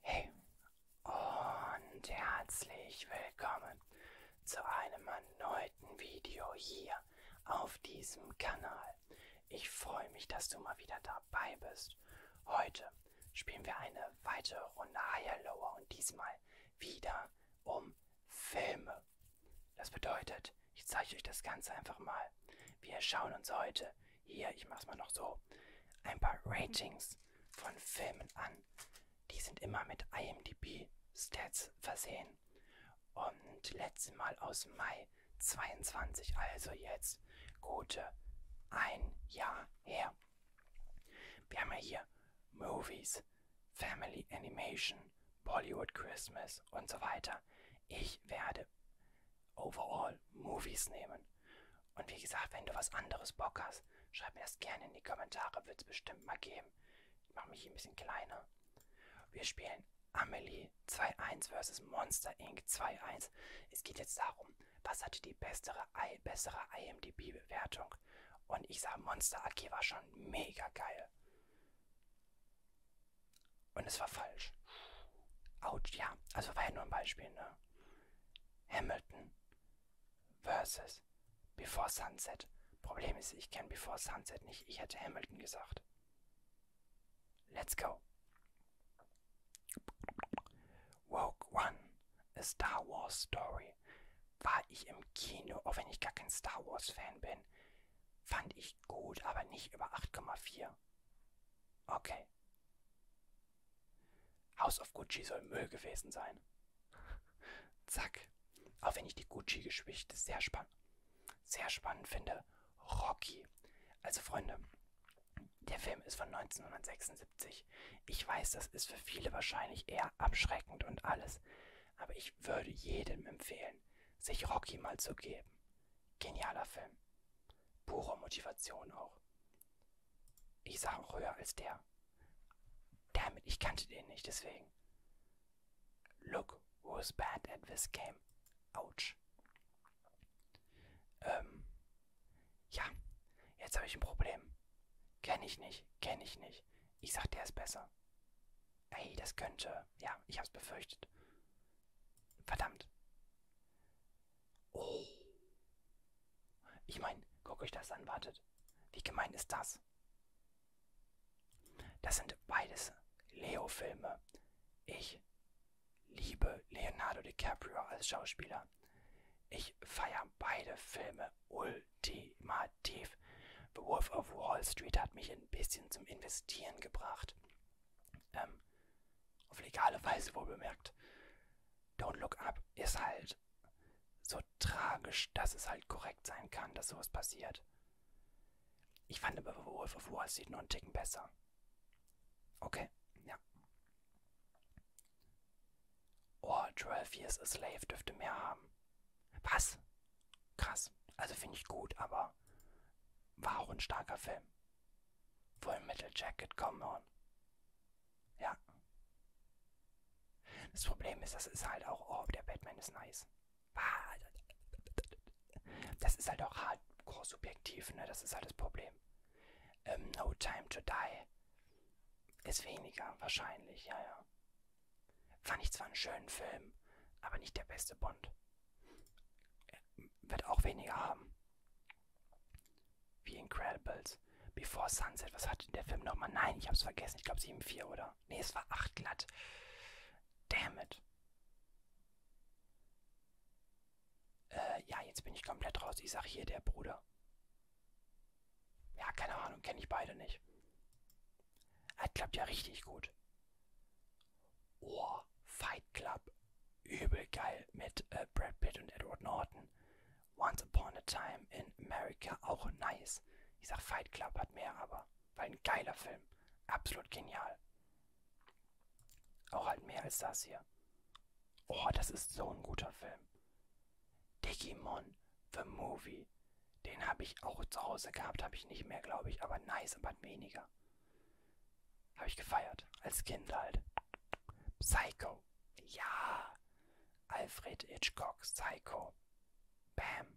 Hey und herzlich willkommen zu einem erneuten Video hier auf diesem Kanal. Ich freue mich, dass du mal wieder dabei bist. Heute spielen wir eine weitere Runde Higher Lower und diesmal wieder um Filme. Das bedeutet, ich zeige euch das Ganze einfach mal. Wir schauen uns heute hier, ich mache es mal noch so, ein paar Ratings von Filmen an. Die sind immer mit IMDb-Stats versehen. Und letztes Mal aus Mai 22, also jetzt gute ein Jahr her. Wir haben ja hier Movies, Family Animation, Bollywood Christmas und so weiter. Ich werde Overall Movies nehmen. Und wie gesagt, wenn du was anderes Bock hast, schreib mir das gerne in die Kommentare, wird es bestimmt mal geben. Ich mache mich hier ein bisschen kleiner. Wir spielen Amelie 2.1 vs. Monster Inc. 2.1. Es geht jetzt darum, was hatte die bessere, bessere IMDb-Bewertung. Und ich sah Monster AG war schon mega geil. Und es war falsch. Autsch, ja. Also war ja nur ein Beispiel, ne? Hamilton versus Before Sunset. Problem ist, ich kenne Before Sunset nicht. Ich hätte Hamilton gesagt. Let's go. Woke One, a Star Wars Story. War ich im Kino, auch wenn ich gar kein Star Wars Fan bin, fand ich gut, aber nicht über 8,4. Okay. House of Gucci soll Müll gewesen sein. Zack. Auch wenn ich die Gucci-Geschichte sehr spannend, sehr spannend finde. Rocky. Also Freunde, der Film ist von 1976. Ich weiß, das ist für viele wahrscheinlich eher abschreckend und alles. Aber ich würde jedem empfehlen, sich Rocky mal zu geben. Genialer Film. Pure Motivation auch. Ich sage auch höher als der. Damit, ich kannte den nicht, deswegen. Look who's bad at this game. Ouch. Ähm, ja, jetzt habe ich ein Problem. Kenne ich nicht, kenne ich nicht. Ich sag, der ist besser. Ey, das könnte. Ja, ich hab's befürchtet. Verdammt. Oh. Ich meine, guckt euch das an, wartet. Wie gemein ist das? Das sind beides Leo-Filme. Ich liebe Leonardo DiCaprio als Schauspieler. Ich feiere beide Filme ultimativ. The Wolf of Wall Street hat mich ein bisschen zum Investieren gebracht. Ähm, auf legale Weise wohl bemerkt. Don't Look Up ist halt so tragisch, dass es halt korrekt sein kann, dass sowas passiert. Ich fand aber Wolf of Wall Street noch einen Ticken besser. Okay, ja. Oh, 12 Years a Slave dürfte mehr haben. Was? Krass. Also finde ich gut, aber war auch ein starker Film. Full Metal Jacket, come on. Ja. Das Problem ist, das ist halt auch, oh, der Batman ist nice. Das ist halt auch hardcore subjektiv, ne? Das ist halt das Problem. Ähm, no Time to Die ist weniger, wahrscheinlich, ja, ja. Fand ich zwar einen schönen Film, aber nicht der beste Bond wird auch weniger haben. Wie Incredibles. Before Sunset, was hatte der Film nochmal? Nein, ich hab's vergessen. Ich glaube 7,4 oder? Nee, es war 8 glatt. Damn it. Äh, ja, jetzt bin ich komplett raus. Ich sag hier der Bruder. Ja, keine Ahnung, kenne ich beide nicht. Er klappt ja richtig gut. Ohr, Fight Club, übel geil mit äh, Brad Pitt und Edward Norton. Once Upon a Time in America, auch nice. Ich sag Fight Club hat mehr, aber weil ein geiler Film. Absolut genial. Auch halt mehr als das hier. Oh, das ist so ein guter Film. Digimon, The Movie. Den habe ich auch zu Hause gehabt, habe ich nicht mehr, glaube ich, aber nice, aber weniger. Habe ich gefeiert. Als Kind halt. Psycho. Ja. Alfred Hitchcock, Psycho. Bam.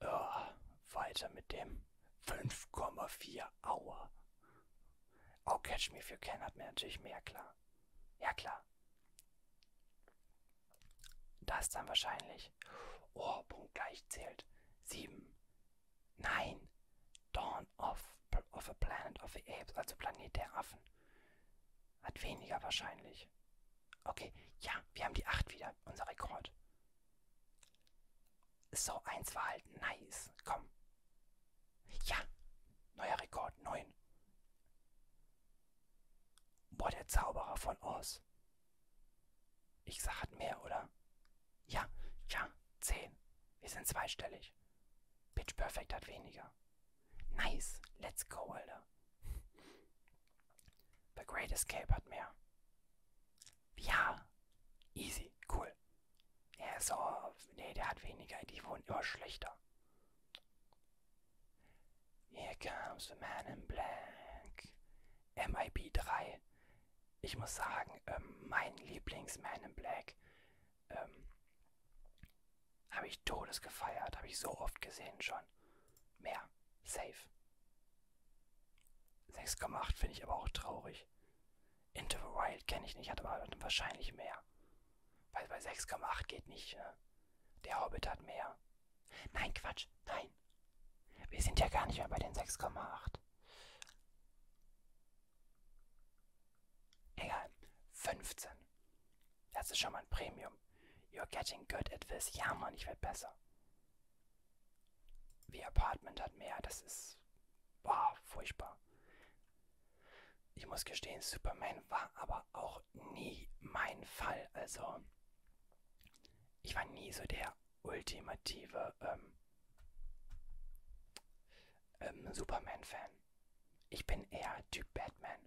Oh, weiter mit dem 5,4 Hour. Oh, Catch Me If You Can hat mir natürlich mehr klar. Ja, klar. Das dann wahrscheinlich. Oh, Punkt gleich zählt. 7. Nein, Dawn of, of a Planet of the Apes, also Planet der Affen. Hat weniger wahrscheinlich. Okay, ja, wir haben die 8 wieder, unser Rekord. So, 1 war halt nice. Komm. Ja, neuer Rekord, 9. Boah, der Zauberer von Oz. Ich sag, hat mehr, oder? Ja, ja, 10. Wir sind zweistellig. Pitch Perfect hat weniger. Nice, let's go, Alter. The Great Escape hat mehr. Ja, easy, cool. Er ist so, nee, der hat weniger, die wurden immer schlechter. Here comes the man in black. MIB 3 ich muss sagen, ähm, mein Lieblings-Man in Black ähm, habe ich Todes gefeiert, habe ich so oft gesehen schon. Mehr. Safe. 6,8 finde ich aber auch traurig. Into the Wild kenne ich nicht, hat aber wahrscheinlich mehr. Weil bei 6,8 geht nicht. Ne? Der Hobbit hat mehr. Nein, Quatsch. Nein. Nein. Wir sind ja gar nicht mehr bei den 6,8. Egal. 15. Das ist schon mal ein Premium. You're getting good at this. Ja, Mann, ich werde besser. The Apartment hat mehr. Das ist. Boah, furchtbar. Ich muss gestehen, Superman war aber auch nie mein Fall. Also, ich war nie so der ultimative ähm, ähm, Superman-Fan. Ich bin eher Typ Batman.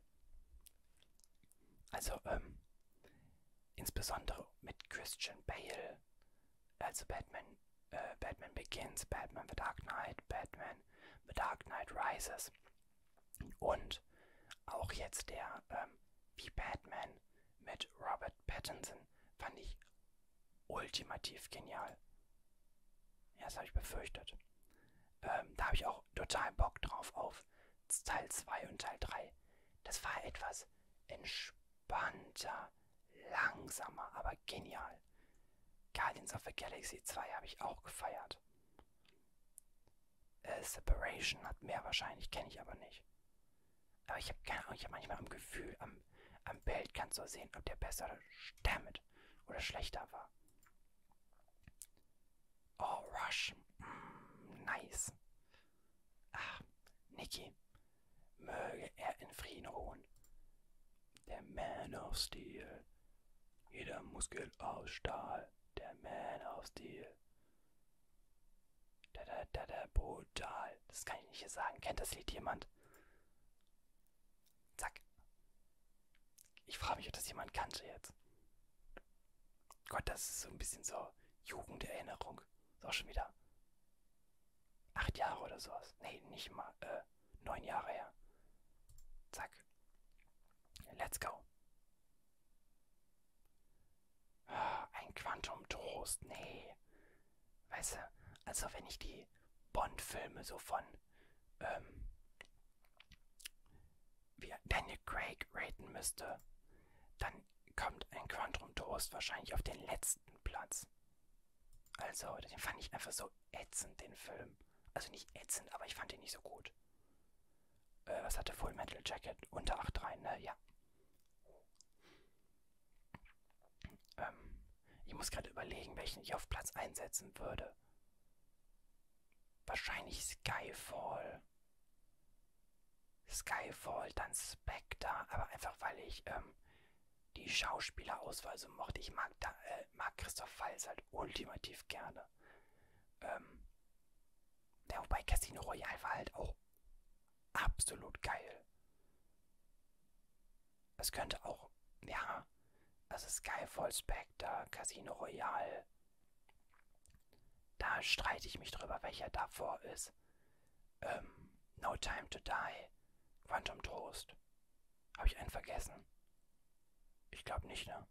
Also, ähm, insbesondere mit Christian Bale, also Batman, äh, Batman Begins, Batman The Dark Knight, Batman The Dark Knight Rises und auch jetzt der ähm, wie Batman mit Robert Pattinson fand ich ultimativ genial. Ja, das habe ich befürchtet. Ähm, da habe ich auch total Bock drauf auf Teil 2 und Teil 3. Das war etwas entspannter, langsamer, aber genial. Guardians of the Galaxy 2 habe ich auch gefeiert. Äh, Separation hat mehr wahrscheinlich, kenne ich aber nicht. Aber ich habe keine Ahnung, ich habe manchmal am Gefühl, am, am Bild kannst du sehen, ob der besser damit oder schlechter war. Oh, Rush. Mm, nice. Ach, Niki. Möge er in Frieden ruhen. Der Man of Steel. Jeder Muskel aus Stahl. Der Man of Steel. Da, da, da, da, brutal. Das kann ich nicht hier sagen. Kennt das Lied jemand? Zack. Ich frage mich, ob das jemand kannte jetzt. Gott, das ist so ein bisschen so Jugenderinnerung. Ist auch schon wieder acht Jahre oder sowas. Nee, nicht mal. Äh, neun Jahre her. Zack. Let's go. Ah, ein Quantum Trost. Nee. Weißt du, also wenn ich die Bond-Filme so von ähm, wie Daniel Craig raten müsste, dann kommt ein Quantum Toast wahrscheinlich auf den letzten Platz. Also, den fand ich einfach so ätzend, den Film. Also nicht ätzend, aber ich fand ihn nicht so gut. Äh, was hatte Full Metal Jacket? Unter 8,3, ne? Ja. Ähm, ich muss gerade überlegen, welchen ich auf Platz einsetzen würde. Wahrscheinlich Skyfall. Skyfall, dann Spectre, aber einfach weil ich ähm, die Schauspielerauswahl so mochte. Ich mag, da, äh, mag Christoph Waltz halt ultimativ gerne. Ähm, ja, wobei Casino Royale war halt auch absolut geil. Es könnte auch, ja, also Skyfall Spectre, Casino Royale. Da streite ich mich drüber, welcher davor ist. Ähm, no Time to Die, Quantum Trost. Habe ich einen vergessen? Ich glaube nicht, ne?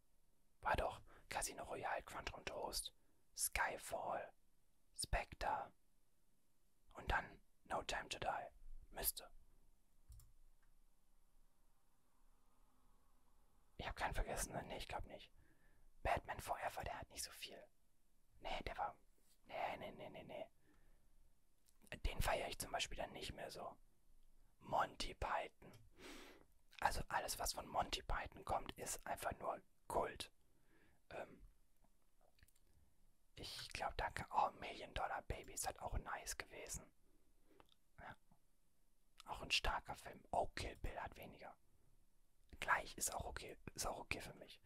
War doch Casino Royale, Quantum Trost, Skyfall, Spectre. Und dann No Time to Die müsste. Ich habe keinen vergessen, ne? Nee, ich glaube nicht. Batman Forever, der hat nicht so viel. Nee, der war. Nee, nee, nee, nee, nee. Den feiere ich zum Beispiel dann nicht mehr so. Monty Python. Also alles, was von Monty Python kommt, ist einfach nur Kult. Ähm, ich glaube, danke. Oh, Million Dollar Baby ist halt auch nice gewesen. Ja. Auch ein starker Film. Oh, Kill Bill hat weniger. Gleich ist auch okay. Ist auch okay für mich.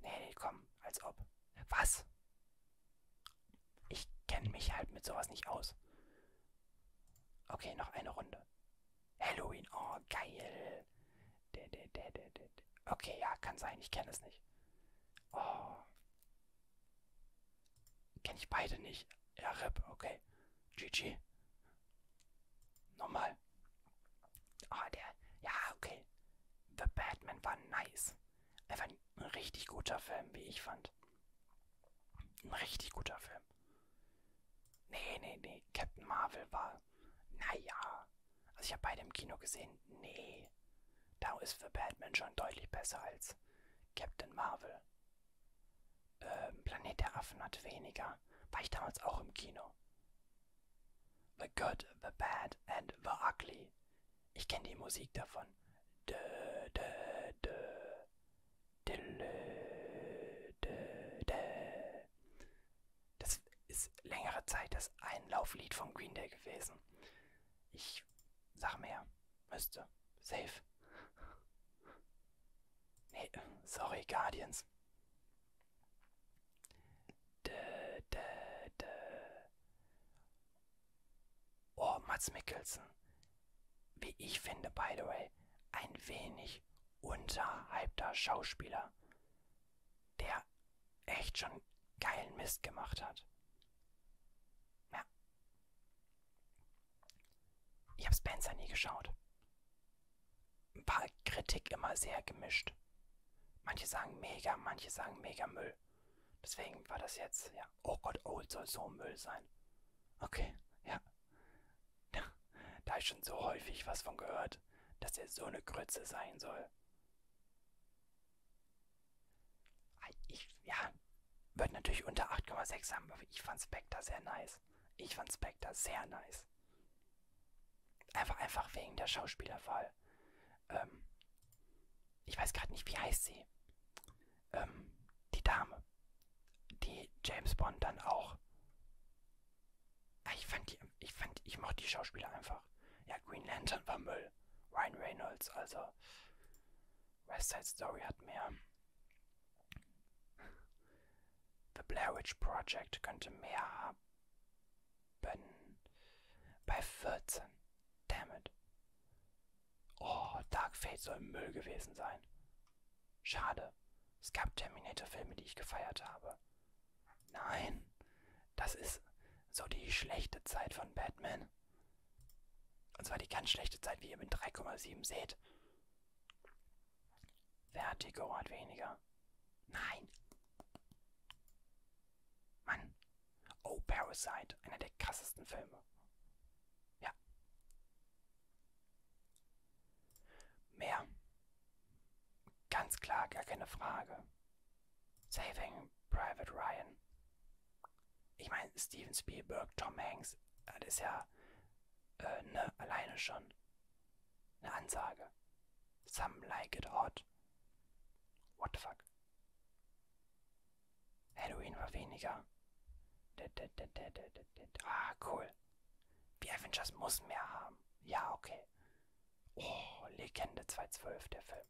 Nee, nee, komm, als ob. Was? Ich kenne mich halt mit sowas nicht aus. Okay, noch eine Runde. Halloween, oh geil. Okay, ja, kann sein. Ich kenne es nicht. Oh. Kenne ich beide nicht. Ja, RIP, okay. GG. Nochmal. Ah, oh, der. Ja, okay. The Batman war nice. Einfach ein richtig guter Film, wie ich fand. Ein richtig guter Film. Nee, nee, nee. Captain Marvel war naja. Also ich habe beide im Kino gesehen. Nee. Da ist für Batman schon deutlich besser als Captain Marvel. Ähm, Planet der Affen hat weniger. War ich damals auch im Kino. The Good, The Bad and The Ugly. Ich kenne die Musik davon. Dö, dö, dö. Dille, dö, dö. Das ist längere Zeit das Einlauflied von Green Day gewesen. Ich sag mehr. Müsste. Safe. Nee, sorry, Guardians. De, de, de. Oh, Mats Mikkelsen. Wie ich finde, by the way, ein wenig unterhalbter Schauspieler, der echt schon geilen Mist gemacht hat. Ja. Ich habe Spencer nie geschaut. War Kritik immer sehr gemischt. Manche sagen mega, manche sagen mega Müll. Deswegen war das jetzt, ja, oh Gott, Old soll so Müll sein. Okay, ja. Da ist schon so häufig was von gehört, dass er so eine Grütze sein soll. Ich, ja, wird natürlich unter 8,6 haben, aber ich fand Spectre sehr nice. Ich fand Spectre sehr nice. Einfach, einfach wegen der Schauspielerwahl. Ähm, ich weiß gerade nicht, wie heißt sie. Ähm, die Dame, die James Bond dann auch ich fand die, ich fand, ich mochte die Schauspieler einfach. Ja, Green Lantern war Müll. Ryan Reynolds, also West Side Story hat mehr. The Blair Witch Project könnte mehr haben. Bei 14. Damn it. Oh, Dark Fate soll Müll gewesen sein. Schade. Es gab Terminator-Filme, die ich gefeiert habe. Nein, das ist so die schlechte Zeit von Batman. Und zwar die ganz schlechte Zeit, wie ihr mit 3,7 seht. Vertigo hat weniger. Nein. Mann. Oh, Parasite. Einer der krassesten Filme. Ja. Mehr. Ganz klar, gar keine Frage. Saving Private Ryan. Ich meine, Steven Spielberg, Tom Hanks, das ist ja äh, ne, alleine schon eine Ansage. Some like it hot. What the fuck? Halloween war weniger. Ah, cool. Die Avengers muss mehr haben. Ja, okay. Oh, Legende 212, der Film.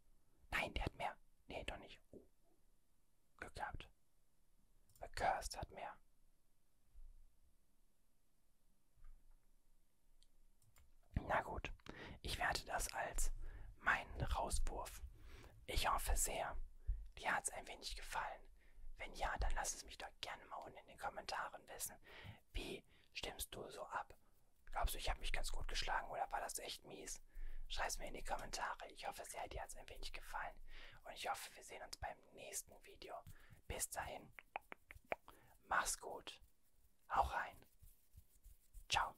Nein, der hat mehr. Nee, doch nicht. Oh. Glück gehabt. The Cursed hat mehr. Na gut, ich werte das als meinen Rauswurf. Ich hoffe sehr, dir hat es ein wenig gefallen. Wenn ja, dann lass es mich doch gerne mal unten in den Kommentaren wissen. Wie stimmst du so ab? Glaubst du, ich habe mich ganz gut geschlagen oder war das echt mies? Schreib's mir in die Kommentare. Ich hoffe sehr, dir hat es ein wenig gefallen. Und ich hoffe, wir sehen uns beim nächsten Video. Bis dahin, mach's gut. Hau rein. Ciao.